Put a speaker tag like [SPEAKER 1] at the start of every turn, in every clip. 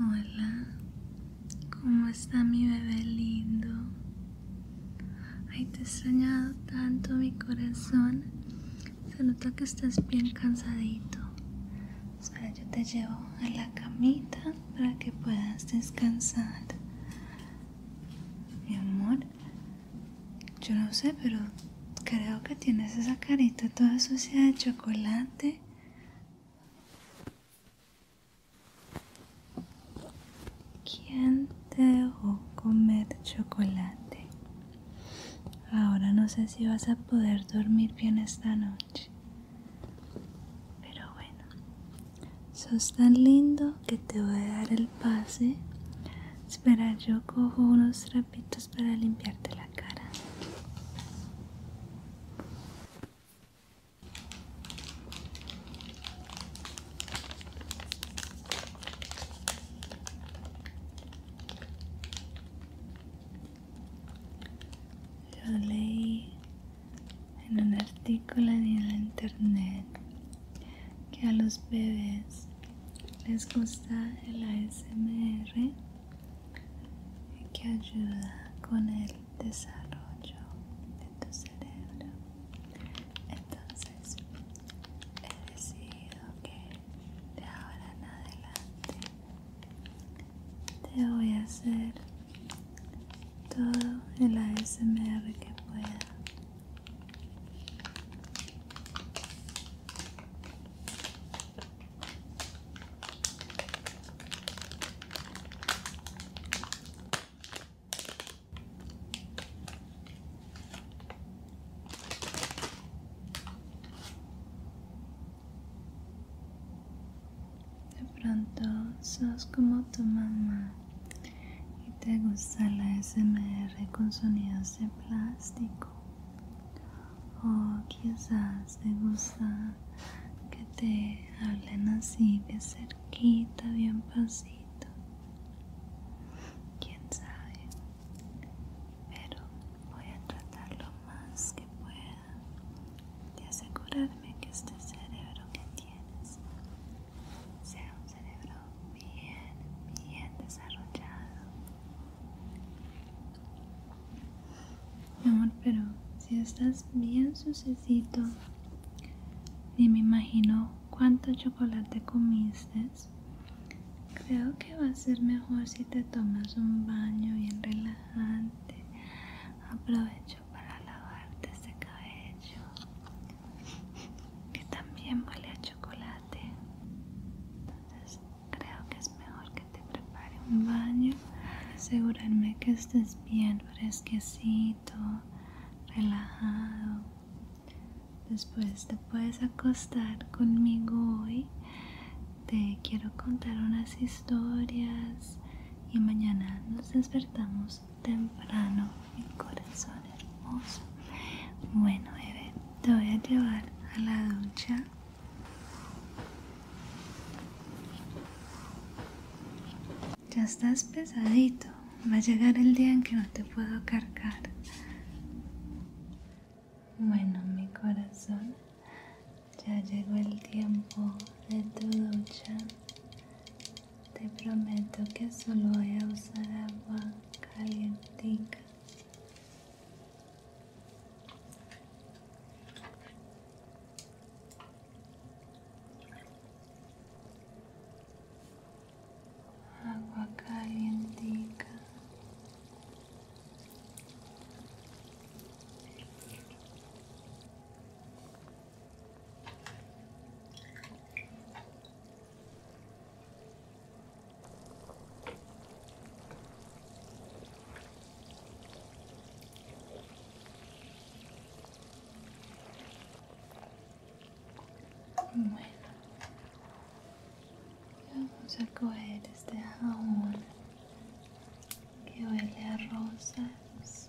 [SPEAKER 1] Hola, ¿cómo está mi bebé lindo? Ay, te he extrañado tanto mi corazón. Se nota que estás bien cansadito. sea, yo te llevo a la camita para que puedas descansar. Mi amor, yo no sé, pero creo que tienes esa carita toda sucia de chocolate. ¿Quién te dejó comer chocolate? Ahora no sé si vas a poder dormir bien esta noche. Pero bueno, sos tan lindo que te voy a dar el pase. Espera, yo cojo unos trapitos para limpiarte la cara. Yo leí en un artículo en el internet que a los bebés les gusta el ASMR y que ayuda con el desarrollo de tu cerebro. Entonces he decidido que de ahora en adelante te voy a hacer todo el ASMR que pueda de pronto sos como tu mamá y te gusta la SMR con sonidos de plástico o quizás te gusta que te hablen así de cerquita, bien pasito quién sabe pero voy a tratar lo más que pueda de asegurarme que este cerebro que tienes sea un cerebro bien, bien desarrollado. Mi amor, pero si estás bien sucesito, y me imagino cuánto chocolate comiste. Creo que va a ser mejor si te tomas un baño bien relajante. Aprovecho para lavarte ese cabello que también vale a chocolate entonces creo que es mejor que te prepare un baño asegurarme que estés bien fresquecito relajado después te puedes acostar conmigo hoy te quiero contar unas historias y mañana nos despertamos temprano, mi corazón hermoso. Bueno, bebé, te voy a llevar a la ducha. Ya estás pesadito. Va a llegar el día en que no te puedo cargar. Bueno, mi corazón, ya llegó el tiempo de tu ducha. Te prometo que solo voy a usar agua calientica. Agua calientica. Bueno, vamos a coger este jabón que huele a rosas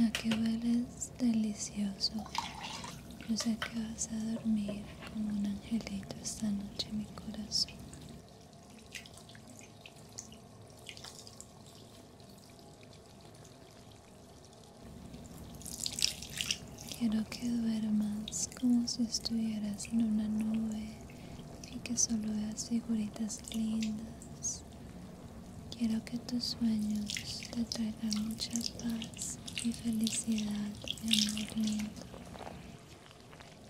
[SPEAKER 1] Ya que hueles delicioso, yo sé que vas a dormir como un angelito esta noche, mi corazón. Quiero que duermas como si estuvieras en una nube y que solo veas figuritas lindas. Quiero que tus sueños te traigan mucha paz y felicidad y amor lindo.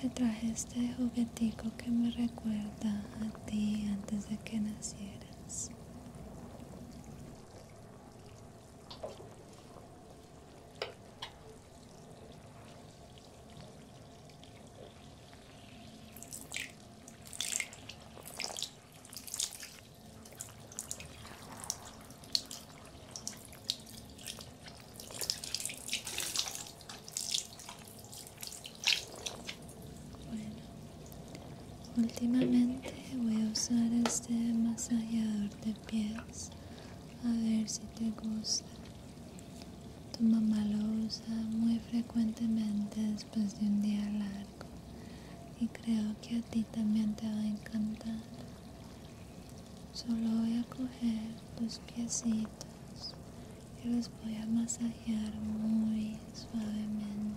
[SPEAKER 1] Te traje este juguetico que me recuerda a ti antes de que nacieras. Bueno, últimamente voy a usar este masajeador de pies. A ver si te gusta. Tu mamá lo usa muy frecuentemente después de un día largo. Y creo que a ti también te va a encantar. Solo voy a coger tus piecitos yo los voy a masajear muy suavemente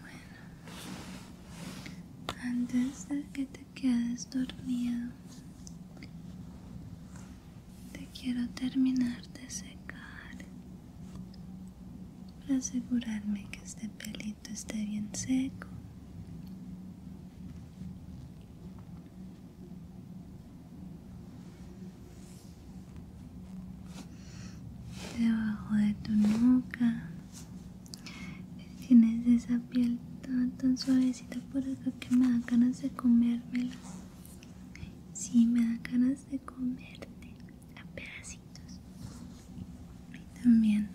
[SPEAKER 1] Bueno, antes de que te quedes dormido, te quiero terminar de secar para asegurarme que este pelito esté bien seco debajo de tu nuca tienes esa piel tan, suavecita por acá que me da ganas de comérmela sí me da ganas de comerte a pedacitos y también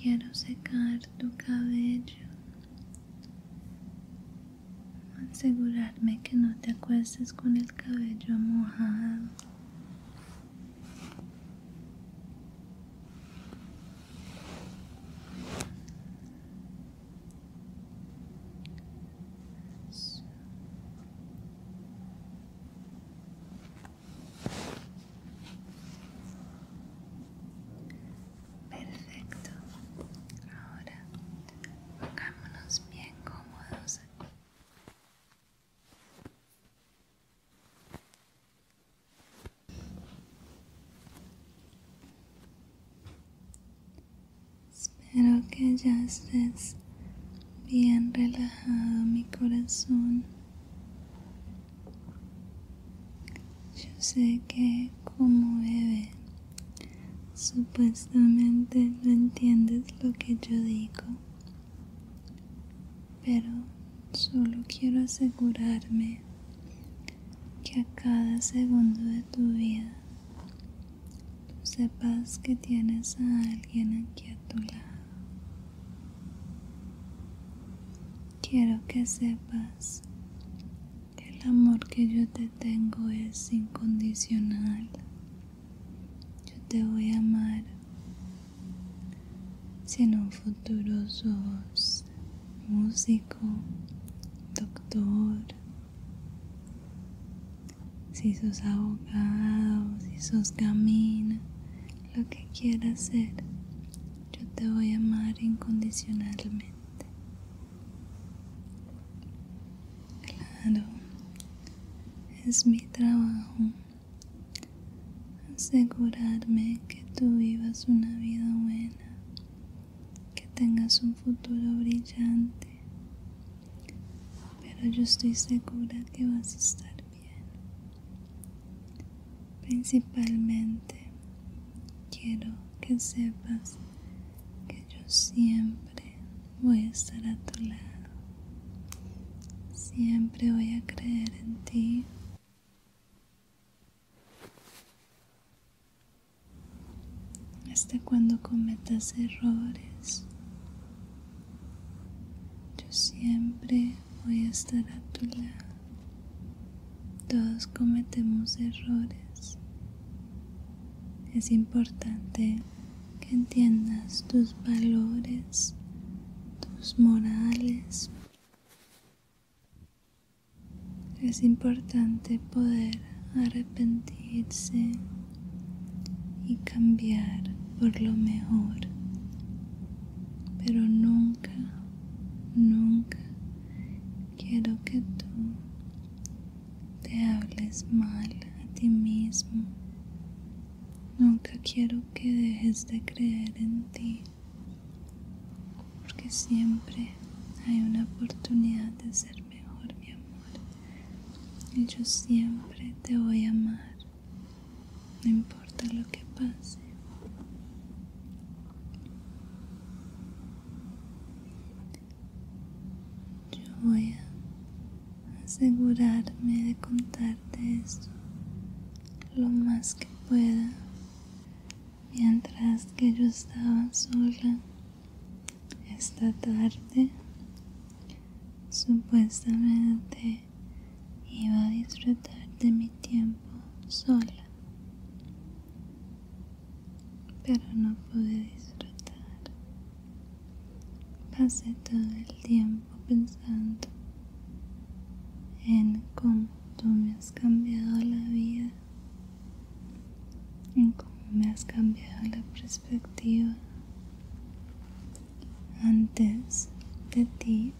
[SPEAKER 1] quiero secar tu cabello asegurarme que no te acuestes con el cabello mojado Perfecto. Ahora pongámonos bien cómodos aquí. Espero que ya estés bien relajado, mi corazón. Yo sé que como bebé Supuestamente no entiendes lo que yo digo, pero solo quiero asegurarme que a cada segundo de tu vida tú sepas que tienes a alguien aquí a tu lado. Quiero que sepas que el amor que yo te tengo es incondicional yo te voy a amar si en un futuro sos músico, doctor, si sos abogado, si sos camina, lo que quieras ser, yo te voy a amar incondicionalmente. Claro, es mi trabajo asegurarme que tú vivas una vida buena, que tengas un futuro brillante, pero yo estoy segura que vas a estar bien. Principalmente quiero que sepas que yo siempre voy a estar a tu lado. Siempre voy a creer en ti. Hasta cuando cometas errores, yo siempre voy a estar a tu lado. Todos cometemos errores. Es importante que entiendas tus valores, tus morales. Es importante poder arrepentirse y cambiar por lo mejor, pero nunca, nunca quiero que tú te hables mal a ti mismo. Nunca quiero que dejes de creer en ti, porque siempre hay una oportunidad de ser mejor, mi amor. Y yo siempre te voy a amar, no importa lo que pase. Yo voy a asegurarme de contarte esto lo más que pueda mientras que yo estaba sola esta tarde supuestamente iba a disfrutar de mi tiempo sola pero no pude disfrutar. Pasé todo el tiempo pensando en cómo tú me has cambiado la vida, en cómo me has cambiado la perspectiva. Antes de ti,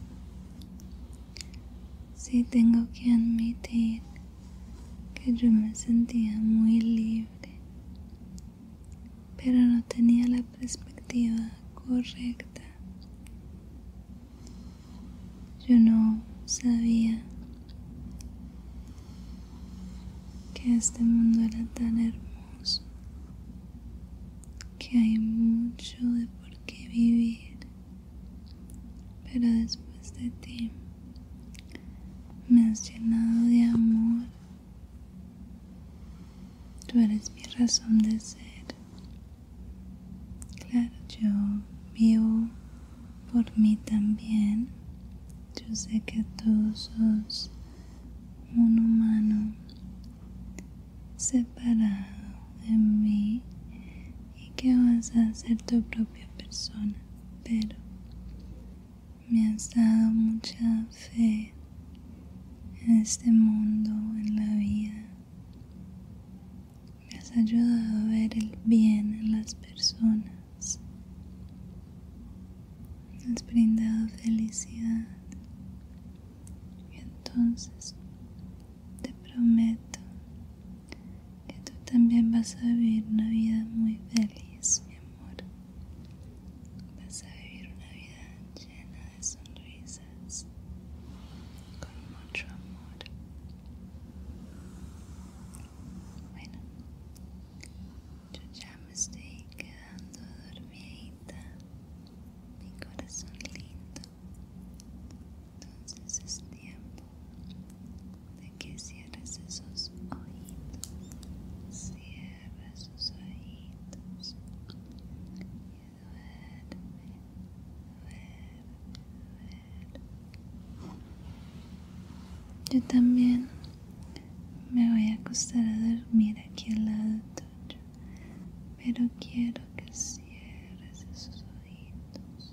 [SPEAKER 1] si tengo que admitir que yo me sentía muy libre pero no tenía la perspectiva correcta. Yo no sabía que este mundo era tan hermoso, que hay mucho de por qué vivir, pero después de ti me has llenado de amor. Tú eres mi razón de ser. Claro, yo vivo por mí también. Yo sé que tú sos un humano separado de mí y que vas a ser tu propia persona, pero me has dado mucha fe en este mundo, en la vida. Me has ayudado a ver el bien en las personas. Me has brindado felicidad. Y entonces te prometo que tú también vas a vivir una vida muy feliz, mi amor amor. Vas a vivir una vida llena de sonrisas, con mucho amor. Bueno, yo ya me estoy quedando dormida mi corazón lindo. Entonces es tiempo de que cierres esos ojitos, cierres esos ojitos y duerme, duerme, Yo también me voy a acostar a dormir aquí al lado tuyo, pero quiero que cierres esos ojitos.